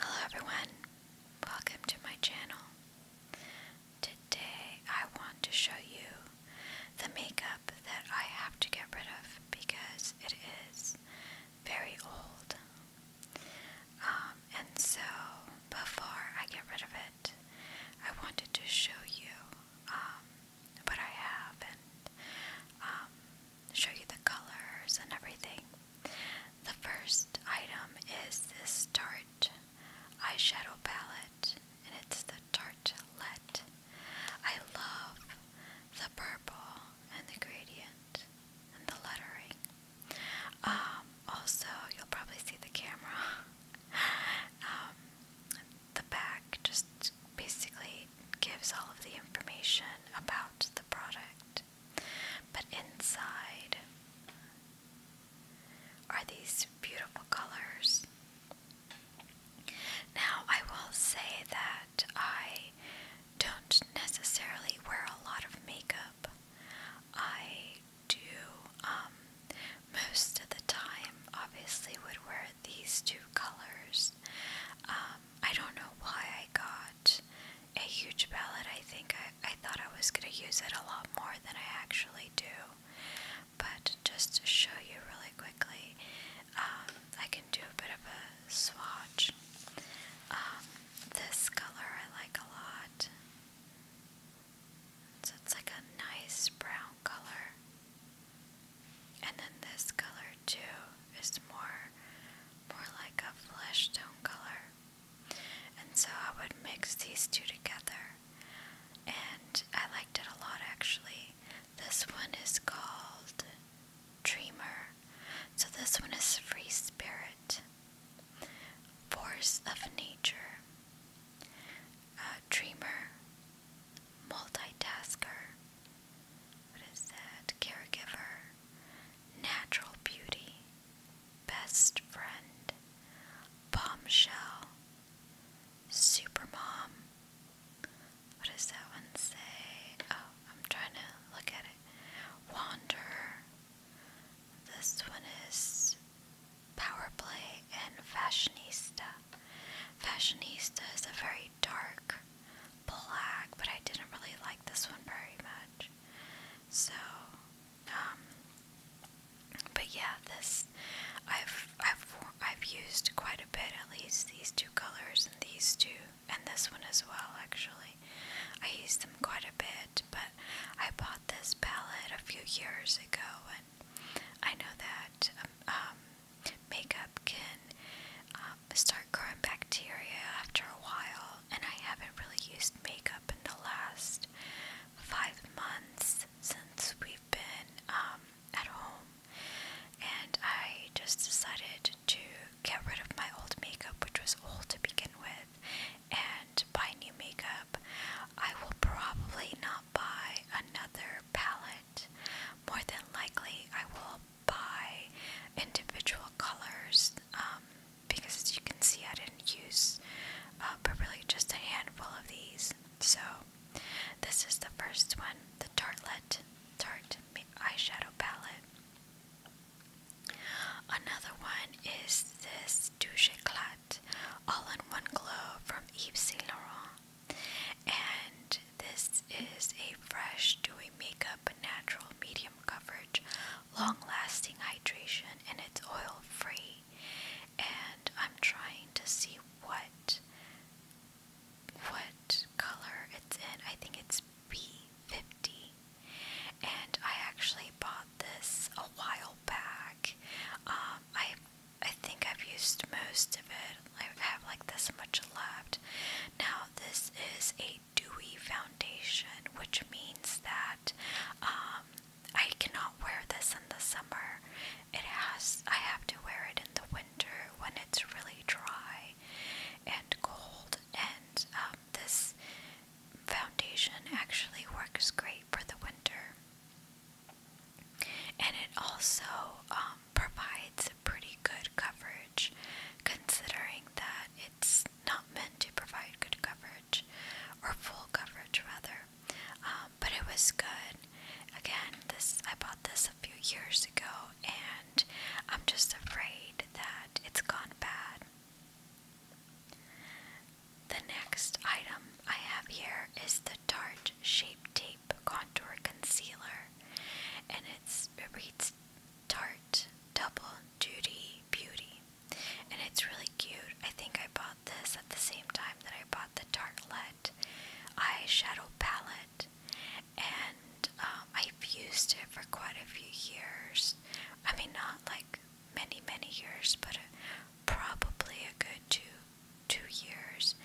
Hello everyone, welcome to my channel. Today I want to show you the makeup that I have to get rid of because it is very old. Um, and so before I get rid of it, I wanted to show you um, what I have um, show you the colors and everything. The first item is this Tarte eyeshadow palette, and it's the Tartelet. I love the purple and the gradient and the lettering. Um, also, you'll probably see the camera. Um, the back just basically gives all of the information about the product. But inside are these beautiful colors. Now, I will say that I don't necessarily wear a lot of makeup. I do, um, most of the time, obviously, would wear these two colors. Um, I don't know why I got a huge palette. I think I, I thought I was going to use it a lot more than I actually do. But just to show you really quickly, um, I can do a bit of a swatch. Um, this color I like a lot. So it's like a nice brown color. And then this color too is more more like a flesh tone color. And so I would mix these two together. And I liked it a lot actually. This one is called Dreamer. So this one is Free Spirit, Force of Nature, uh, Dreamer, Multitasker, what is that? Caregiver, natural beauty, best friend, bombshell, supermom. What does that one say? Oh, I'm trying to look at it. Wander. This one is power and fashionista. Fashionista is a very very dark black, but I didn't really like this one very much. So, um, but yeah, this I've I've I've used quite a bit, at least these two colors and these two, and this one as well. Actually, I used them quite a bit, but I bought this palette a few years ago, and I know that um, um makeup can um, start growing bacteria after a while, and I haven't really used makeup in the last five months since we've been um, at home, and I just decided to get rid of my old makeup, which was old to begin with, and buy new makeup. I will probably not buy another palette. More than likely, I will by individual colors um, because as you can see I didn't use but uh, really just a handful of these so this is the first one the Tartlet Tarte eyeshadow palette another one is this Douche Eclat all in one glow from Yves Saint Laurent and this is a fresh dewy makeup natural medium coverage, long lasting hydration, and it's oil free. And I'm trying to see what what color it's in. I think it's B50. And I actually bought this a while back. Um, I I think I've used most of it. I have like this much left. Now, this is a dewy foundation, which means that um, I cannot wear this in the summer. It has, I have to wear it in the winter when it's really dry and cold. And um, this foundation actually works great for the winter. And it also um, provides pretty good coverage considering that it's not meant to provide good coverage or full coverage rather um, but it was good again this I bought this a few years ago and I'm just afraid that it's gone bad the next item I have here is the tart shaped tape Contour Concealer, and it's it reads Tarte Double Duty Beauty, and it's really cute. I think I bought this at the same time that I bought the Tartlet eyeshadow palette, and um, I've used it for quite a few years. I mean, not like many many years, but uh, probably a good two two years,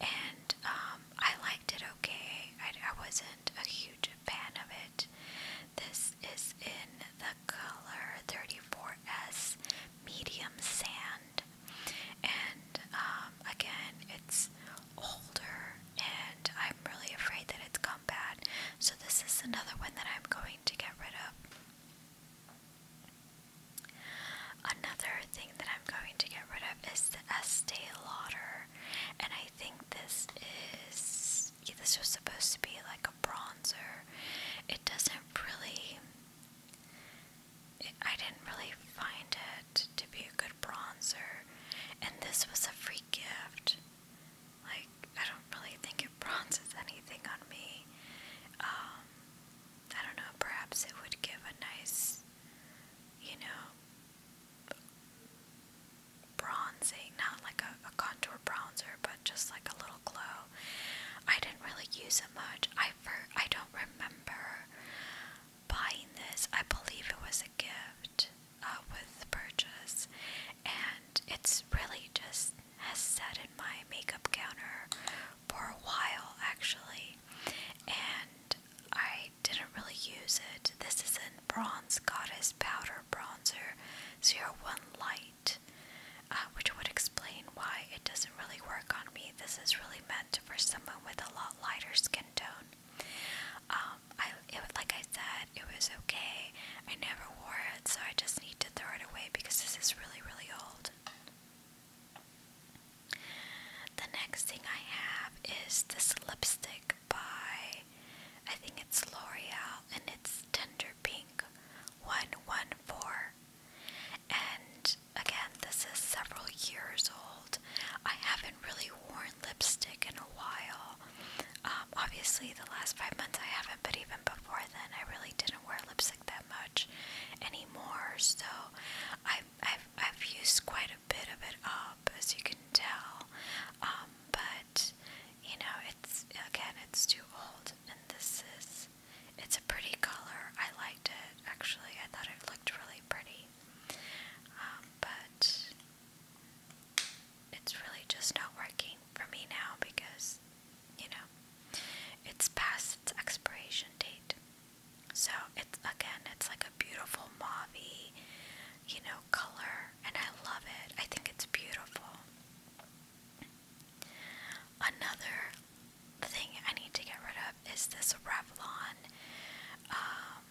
and um, I liked it okay. I, wasn't a huge fan of it. This is in the color 34S medium sand, and um, again, it's older, and I'm really afraid that it's gone bad. So, this is another one that I'm going to get rid of. Another thing that I'm going to get rid of is the Estee Lauder, and I think this is this was supposed to be like a bronzer. It doesn't really. I didn't really find it to be a good bronzer, and this was a free gift. Like I don't really think it bronzes anything on me. Um, I don't know. Perhaps it would give a nice you know, bronzing, not like a, contour bronzer, but just like a little glow. I didn't really use it much. I for, I don't remember buying this. I believe it was a gift uh, with purchase, and it's really just as said in my makeup counter for a while actually, and I didn't really use it. This is in Bronze Goddess Powder Bronzer 01 Light, uh, which would explain why it doesn't really work on me. This is really meant for someone with a lot lighter skin tone. Um, I, it, like I said, it was okay. I never wore it, so I just need to throw it away because this is really, really old. The next thing I have is this lipstick by, I think it's L'Oreal, and it's Tender Pink 114. And again, this is several years old. I haven't really worn lipstick in a while. Um, obviously, the last five months I haven't, but even before then, I really didn't wear lipstick that much anymore. So I I, have I've used quite a bit of it up, as you can tell, um, but you know, it's again, it's too old, and this is it's a pretty color. I liked it actually, I thought it looked really pretty, um, but it's really just not working for me now because you know it's past its expiration date. So it's again, it's like a beautiful mauvey, you know, color, and I love it. I think it's beautiful. Another thing I need to get rid of is this Revlon um,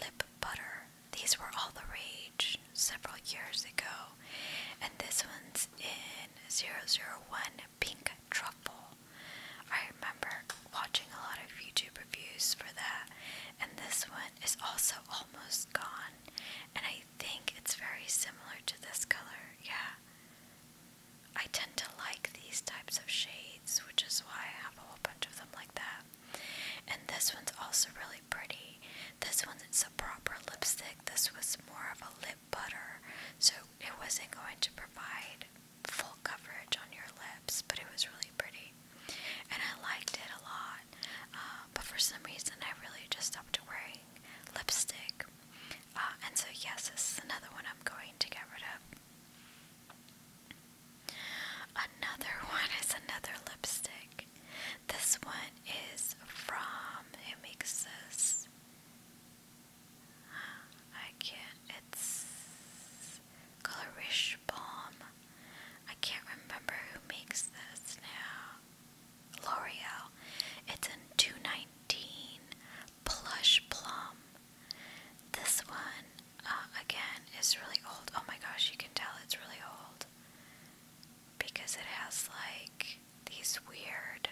lip butter. These were all the rage several years ago, and this one's in 001 pink truffle. I remember watching a lot of YouTube reviews for that, and this one is also almost gone, and I think it's very similar to this color, yeah. I tend to like these types of shades, which is why I have a whole bunch of them like that. And this one's also really pretty. This one's a proper lipstick. This was more of a lip butter, so it wasn't going to provide full coverage on your lips, but it was really pretty. And I liked it a lot, uh, but for some reason I really just stopped wearing lipstick. Uh, and so, yes, this is another one I'm going to get rid of. Another one is another lipstick. This one is from, who I can't, it's Colorish Balm. I can't remember who makes this now. L'Oreal. It's in 219 Plush Plum. This one, uh, again, is really old. Oh my gosh, you can tell it's really old. Because it has like these weird,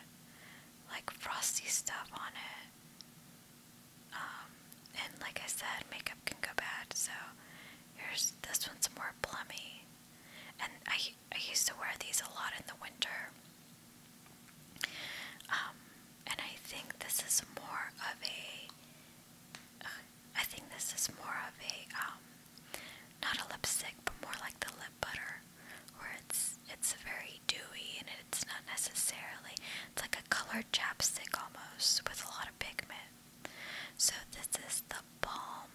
like frosty stuff on it. Um, and like I said, makeup can go bad, so here's this one's more plummy. And I, I used to wear these a lot in the winter. Um, and I think this is more of a, uh, I think this is more of a, um, not a lipstick, but more like the lip butter, where it's, it's very very dewy and it's not necessarily it's like a colored chapstick almost with a lot of pigment. So this is the Balm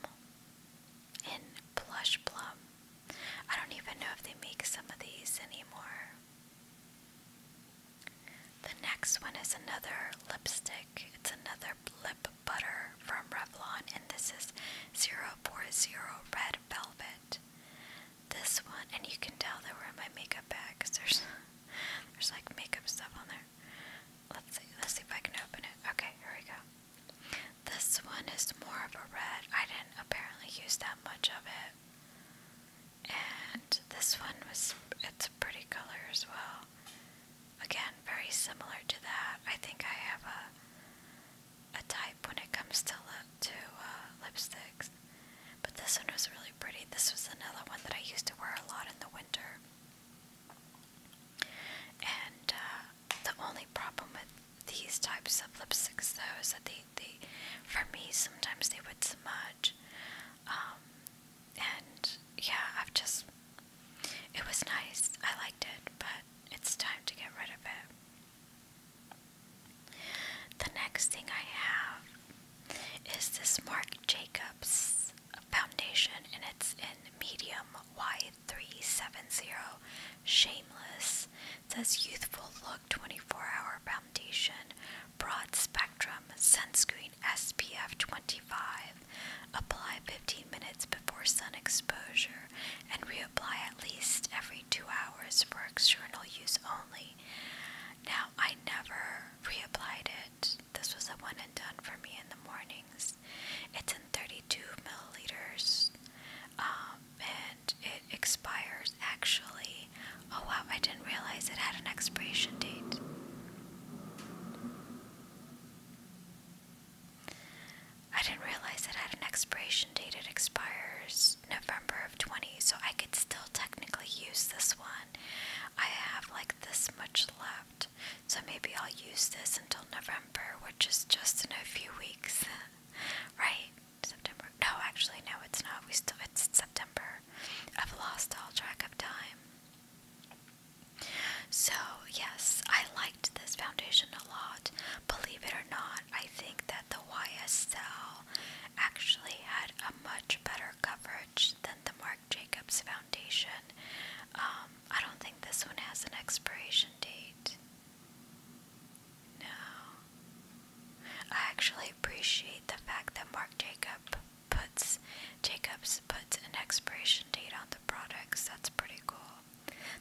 in Plush Plum. I don't even know if they make some of these anymore. The next one is another lipstick. It's another lip butter from Revlon, and this is 040 Red Velvet this one, and you can tell that we in my makeup bag because there's, there's like makeup stuff on there. Let's see, let's see if I can open it. Okay, here we go. This one is more of a red. I didn't apparently use that much of it. And this one was, it's a pretty color as well. Again, very similar to that. I think I have a a type when it comes to uh, lipsticks, but this one was really pretty. This was another one that I used to wear a lot in the winter, and uh, the only problem with these types of lipsticks though is that they, they for me sometimes they would smudge, um, and yeah, I've just it was nice. I liked it, but it's time to get rid of it. The next thing I have is this Marc Jacobs foundation, and it's in medium Y370 Shameless. It says Youthful Look 24 Hour Foundation, Broad Spectrum Sunscreen SPF 25. Apply 15 minutes before sun exposure and Apply at least every two hours for external use only. Now, I never reapplied it. This was a one and done for me in the mornings. It's in 32 milliliters um, and it expires actually. Oh wow, I didn't realize it had an expiration date. I didn't realize it had an expiration date. It expires November of 20, so I could still technically use this one. I have like this much left, so maybe I'll use this until November, which is just in a few weeks, right? September. No, actually, no, it's not. We still it's September. I've lost all track of time. So yes, I like liked this foundation a lot. Believe it or not, I think that the YSL actually had a much better coverage than the Marc Jacobs foundation. Um, I don't think this one has an expiration date. No. I actually appreciate the fact that Marc Jacob puts Jacobs puts an expiration date on the products. That's pretty cool.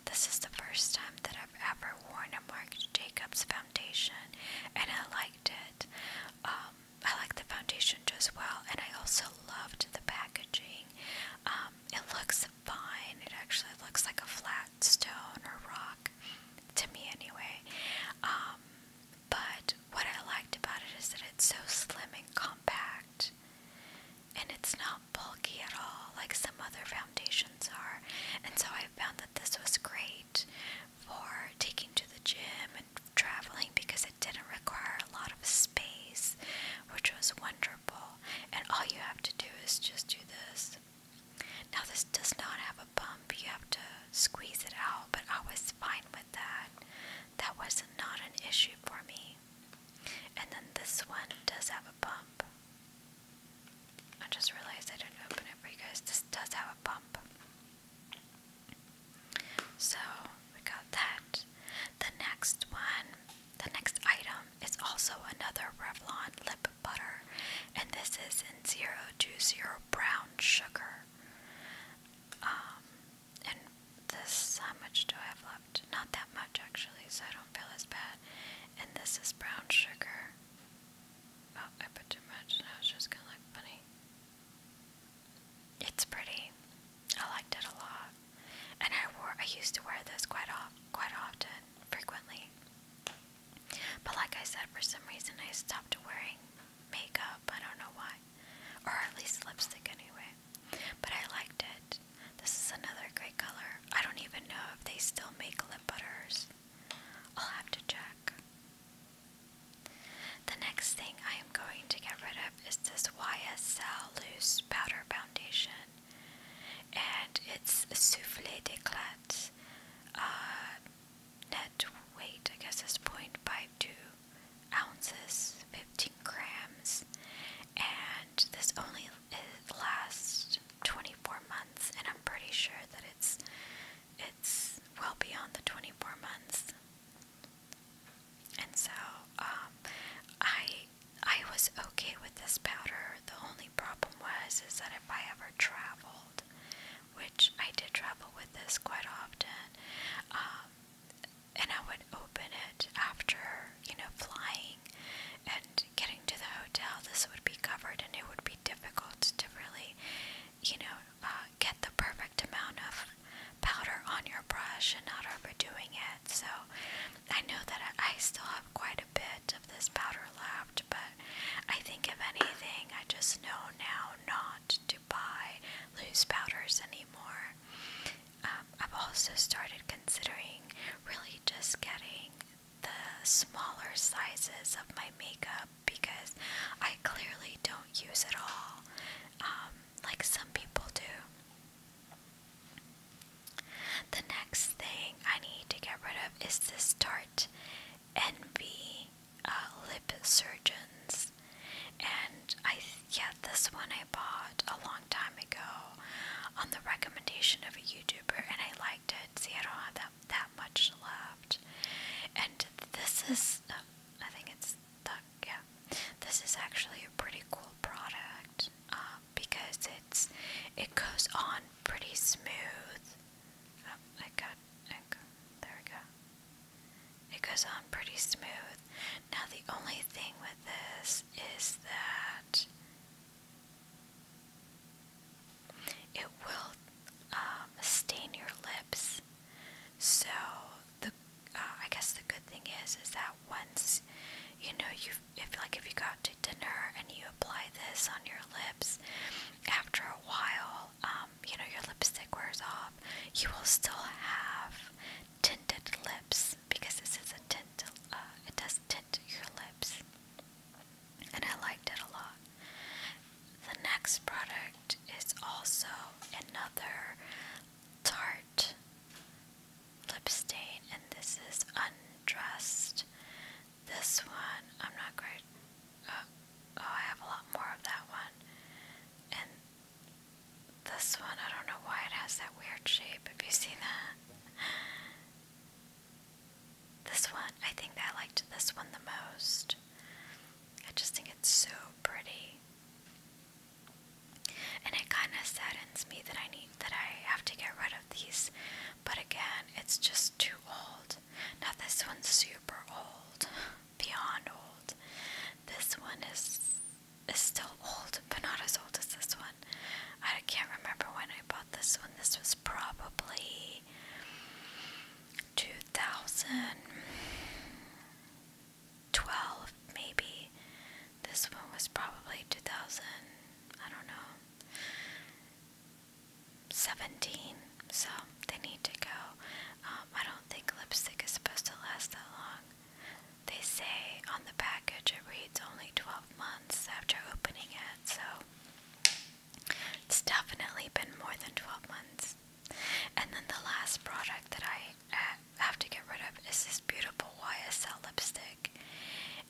This is the first time that I've ever worn a Marc Jacobs foundation, and I liked it. Um, I liked the foundation just well, and I also loved the packaging. Um, it looks fine. It actually looks like a flat stone or rock, to me anyway. Um, but what I liked about it is that it's so slim and compact and it's not bulky at all like some other foundations are. And so I found that this was great for taking to the gym and traveling because it didn't require a lot of space, which was wonderful. And all you have to do is just do this. Now, this does not have a bump, you have to squeeze it out, but I was fine with that. That was not an issue for me. And then this one does have a bump. I just realized I didn't open it for you guys. This does have a bump. So we got that. The next one, the next item is also another Revlon lip butter. And this is in 020 brown sugar. Um, and this, how much do I have left? Not that much actually, so I don't feel as bad. And this is brown sugar. Oh, I put too much, and now was just kind of look funny. It's pretty. I liked it a lot. And I wore, I used to wear this quite often, quite often, frequently. But like I said, for some reason I stopped wearing makeup. I don't know why, or at least lipstick anyway. But I liked it. This is another great color. I don't even know if they still make lip butters. I'll have to check. The next thing I am going to get rid of is this YSL Loose Powder Foundation. And it's Souffle d'Eclat. Uh, net weight, I guess, is 0.52 ounces, 15 grams, and this only lasts 24 months, and I'm pretty sure that it's it's well beyond the 24 months. And so, um, I I was okay with this powder. The only problem was is that if I ever traveled, which I did travel with this quite often, um, and I would open it after, you know, flying and getting to the hotel. This would be covered, and it would be difficult to really, you know, uh, get the perfect amount of powder on your brush and not overdoing it. So I know that I still have quite a bit of this powder left, but I think if anything, I just know now not to buy loose powders anymore. Um, I've also started considering really just getting the smaller sizes of my makeup because I clearly don't use it all um, like some people do. The next thing I need to get rid of is this Tarte Envy uh, Lip Surgeons and I yeah this one I bought a long time ago on the recommendation of a YouTuber and I liked it. See, I don't have that that much left, and this is uh, I think it's the yeah this is actually a pretty cool product um, because it's it goes on pretty smooth. Oh, I got, I got there we go. It goes on pretty smooth. Now, the only thing with this is that it will um, stain your lips. So, the uh, I guess the good thing is is that once you know you if like if you go out to dinner and you apply this on your lips, after a while, um, you know your lipstick wears off. You will still have tinted lips because this is a tint, uh, it does tint your lips, and I liked it a lot. The next product is also another Tarte lip stain, and this is Undressed. This one, I'm not great. Uh, oh, I have a lot more of that one, and this one, I don't know why it has that weird shape. Have you seen that? This one, I think that I liked this one the most. I just think it's so pretty. And it kind of saddens me that I need that I have to get rid of these. But again, it's just too old. Now this one's super old. beyond old. This one is is still old, but not as old as this one. I can't remember when I bought this one. This was probably 2012, maybe. This one was probably 2000, I don't know, 17. So they need to go. Um, I don't think lipstick is supposed to last that long. They say on the package it reads only 12 months after opening it, so it's definitely been more than 12 months. And then the last product that I uh, have to get rid of is this beautiful YSL lipstick,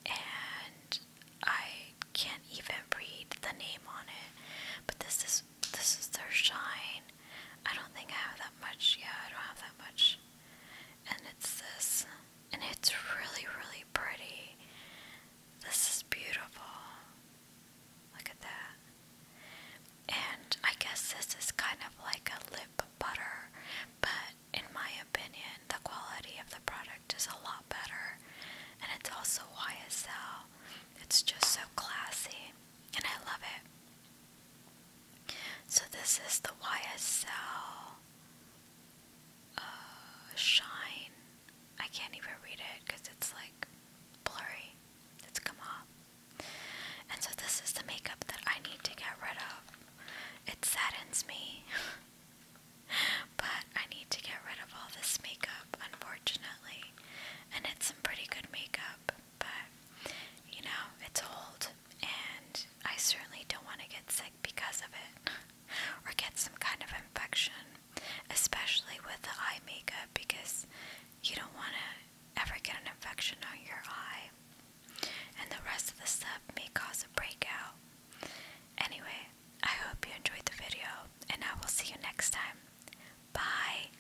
and I can't even read the name on it, but this is this is their shine. I don't think I have that much. Yeah, I don't have that much. And it's this. And it's really, really pretty. This is beautiful. Look at that. And I guess this is kind of like a lip butter, but in my opinion, the quality of the product is a lot better. And it's also YSL. It's just so classy. And I love it. So this is the YSL uh, Shine. I can't even read it because it's like blurry. It's come off. And so this is the makeup that I need to get rid of. It saddens me. but I need to get rid of all this makeup, unfortunately. And it's some pretty good makeup but you know, it's old, and I certainly don't want to get sick because of it or get some kind of infection, especially with the eye makeup because you don't want to ever get an infection on your eye, and the rest of the stuff may cause a breakout. Anyway, I hope you enjoyed the video, and I will see you next time. Bye!